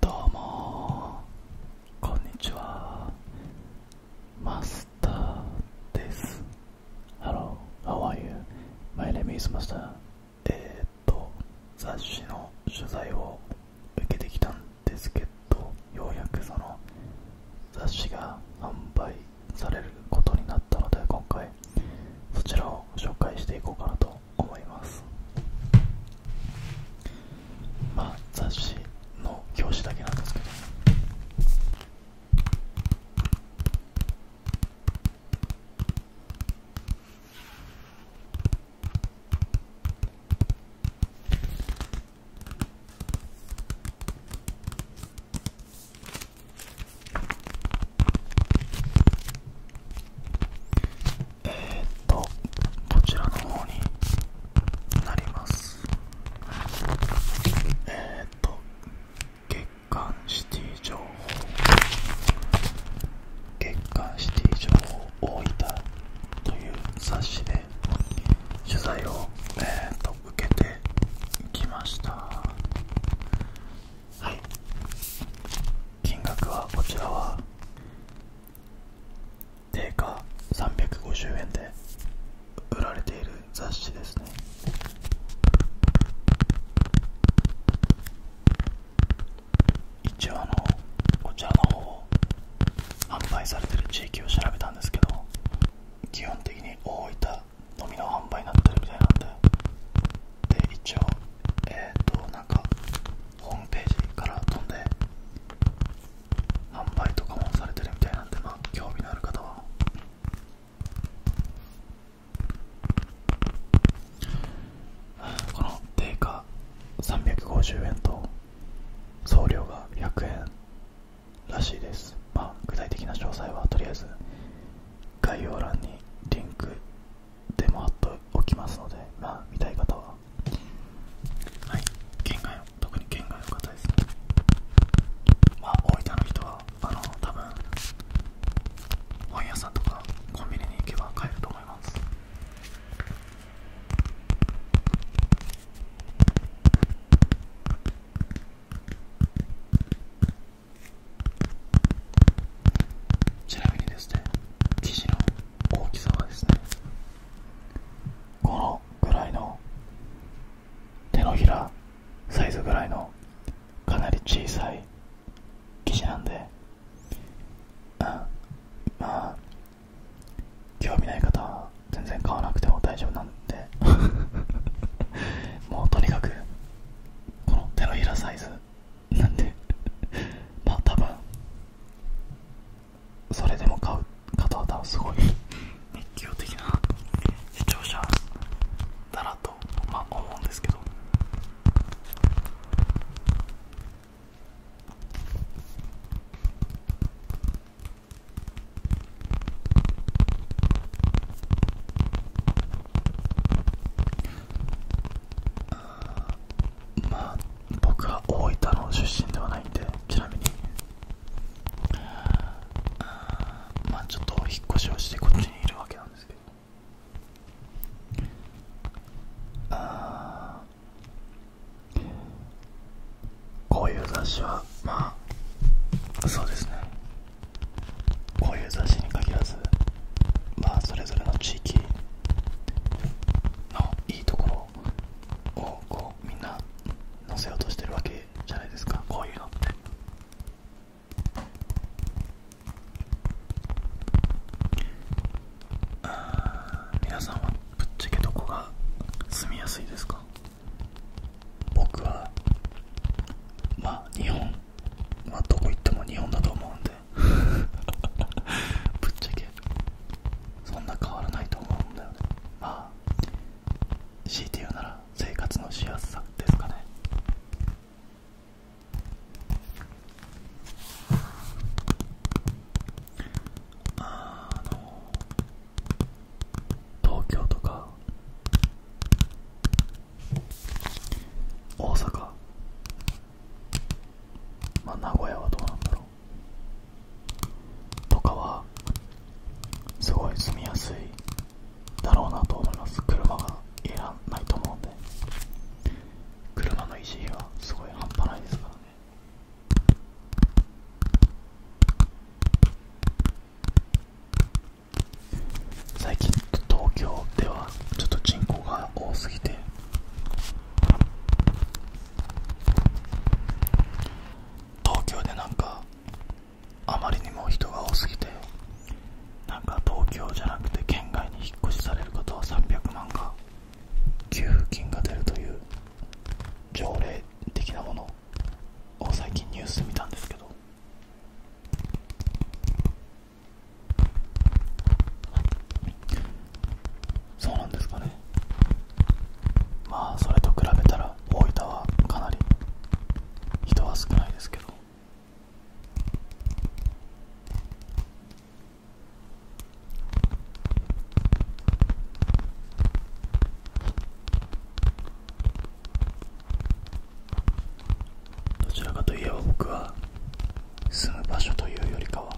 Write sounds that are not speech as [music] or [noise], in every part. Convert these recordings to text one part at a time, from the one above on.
どうもこんにちはマスターです Hello, how are you? My name is Master えっと雑誌の取材を受けてきたんですけどようやくその雑誌が販売されることになったので今回そちらを紹介していこうかなと思いますまあ雑誌の表紙だけなんですけどえっとこちらの方になりますえっと月刊シティ情報月刊シティ情報大分という冊子で取材を、えー、と受けてきましたはい金額はこちらは定価350円で売られている雑誌ですね一応あのこちらの方販売されてる地域を調べたんですけど基本的に大分のみの販売になってるみたいなんでで一応えっ、となんかホームページから飛んで販売とかもされてるみたいなんでまあ興味のある方はこの定価350円と送料が100円らしいですまあ具体的な詳細はとりあえず概要欄にリンクでも貼っておきますので、まあ、見たい方ははい県外の特に県外の方ですねまあ大分の人はあの多分本屋さんとかコンビニに行けば買えると思いますちなみにですね生地の大きさはですねこのぐらいの手のひらサイズぐらいのかなり小さい生地なんであまあ興味ない方は全然買わなくても大丈夫なんで [laughs] もうとにかくこの手のひらサイズなんで [laughs] まあ多分それでも買う方は多分すごい熱狂的な視聴者だなと、まあ、思うんですけどまあ僕は大分の出身ではないんでちなみにまあちょっと引っ越しをしてこっちにいるわけなんですけどああ。こういう雑誌はまあそうですねこういう雑誌に限らずまあそれぞれの地域のいいところをこうみんな載せようとしてるわけじゃないですかこういうのってあ皆さんはぶっちゃけどこが住みやすいですか僕はまあ日本まあどこ行っても日本だと思うんで [laughs] ぶっちゃけそんな変わらないと思うんだよねまあ強いて言うなら生活のしやすさですかねあの東京とか大阪まあ名古屋はどうなんだろうとかはすごい住みやすいだろうなと思います車がいらないと思うんで車の維持費はすごい半端ないですからね最近東京ではちょっと人口が多すぎて東京でなんかあまりにも人が多すぎてなんか東京じゃなくて県外に引っ越しされる方は300万か給付金が出るという条例的なものを最近ニュースで見たんですけどそうなんですかねまあそれと比べたら大分はかなり人は少ないですけどどちらかといえば僕は住む場所というよりかは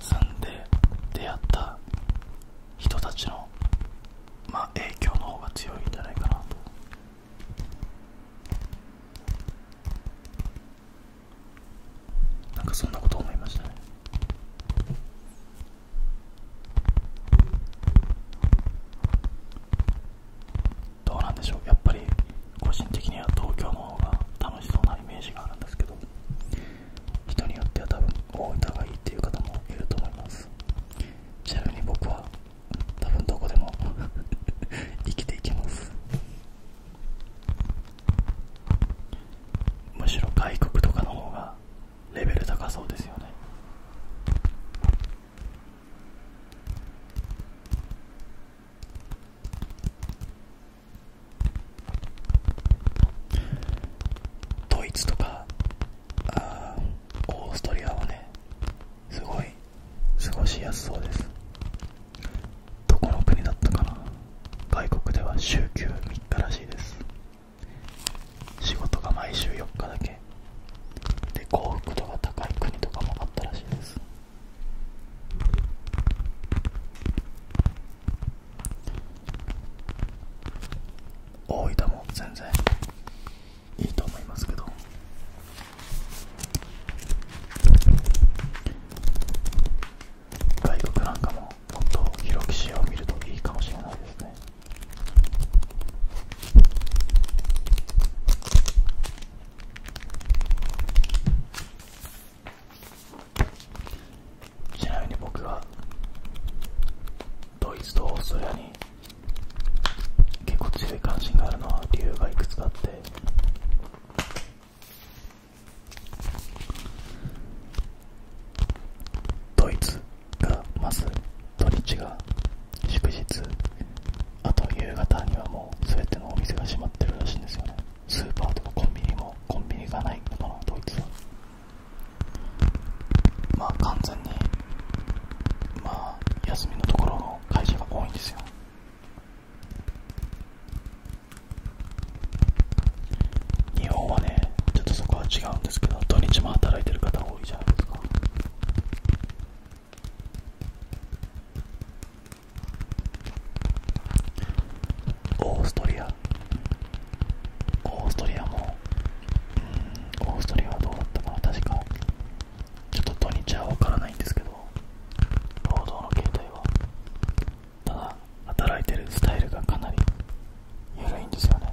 住んで出会った人たちのまあ影響の方が強いんじゃないかなとなんかそんなこと思いましたねどうなんでしょうやっぱり個人的には東京の方が楽しそうなイメージがあるんですけど人によっては多分大分がいいっていう方もいると思いますちなみに僕は多分どこでも [laughs] 生きていきますむしろ外国とかの方がレベル高そうですよねドイツとかあーオーストリアはねすごい過ごしやすそうですどこの国だったかな外国では週休3日らしいです仕事が毎週4日だけで幸福度が高い国とかもあったらしいです大分も全然いいと思いますけど外国なんかももっと広く視野を見るといいかもしれないですねちなみに僕はドイツとオーストラリアに結構強い関心があるのは理由がいくつかあってドイツがまず土日が祝日あと夕方にはもう全てのお店が閉まってるらしいんですよねスーパーとかコンビニもコンビニがないのかなドイツはまあ完全にまあ休みのところの会社が多いんですよ日本はねちょっとそこは違うんですけど土日も働いてる方多いじゃないですかオーストリアオーストリアもうんオーストリアはどうなったかな確かちょっと土日は分からないんですけど労働の形態はただ働いてるスタイルがかなり緩いんですよね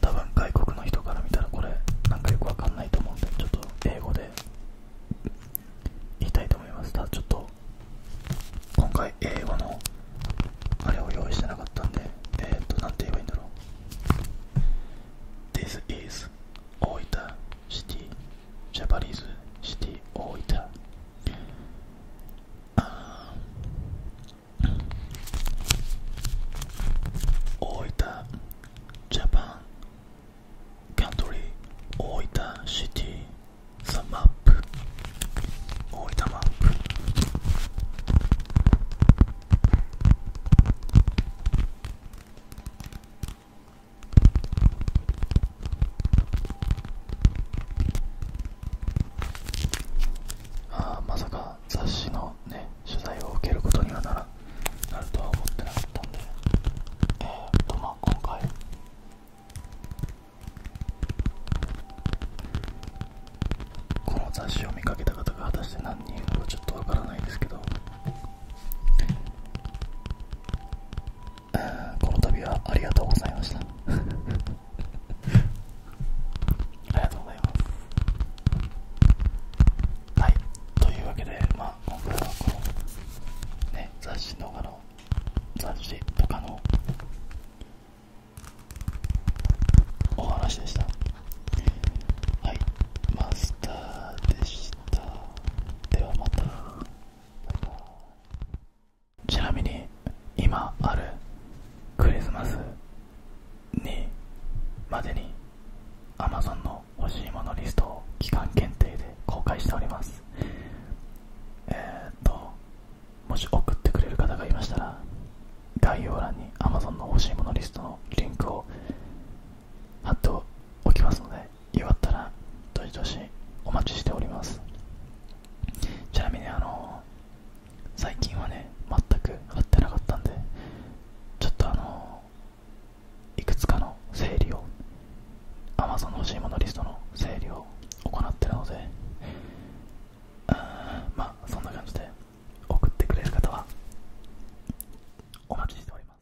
多分外国の人から見たらこれなんかよくわかんないと思うんでちょっと英語で言いたいと思いますただちょっと今回英語のあれを用意してなかったんでえっ、ー、と何て言えばいいんだろう This is です大分シティジャパニーズシティ大分あ大分ジャパンカントリー大分シティザ・マップ大分マップああまさか雑誌のね取材を受けることにはならなるとは思ってなかったんでえっとまあ今回この雑誌を見かけた方が果たして何人いるのかちょっとわからないですけどこの度はありがとうございました [laughs] ありがとうございますはいというわけでまあ今回はこのね雑誌動画の雑誌とかのお話でしたはいマスターでしたって思ったちなみに今あるクリスマスにまでに Amazon の欲しいものリストを期間限定で公開しておりますえっともし送ってくれる方がいましたら概要欄に Amazon の欲しいものリストのリンクを貼っておきますのでよったらどしどしお待ちしておりますちなみにあの最近はね全く貼ってなかったんでちょっとあのいくつかの整理を Amazon の欲しいものリストの整理を行ってるのであまあそんな感じで送ってくれる方はお待ちしております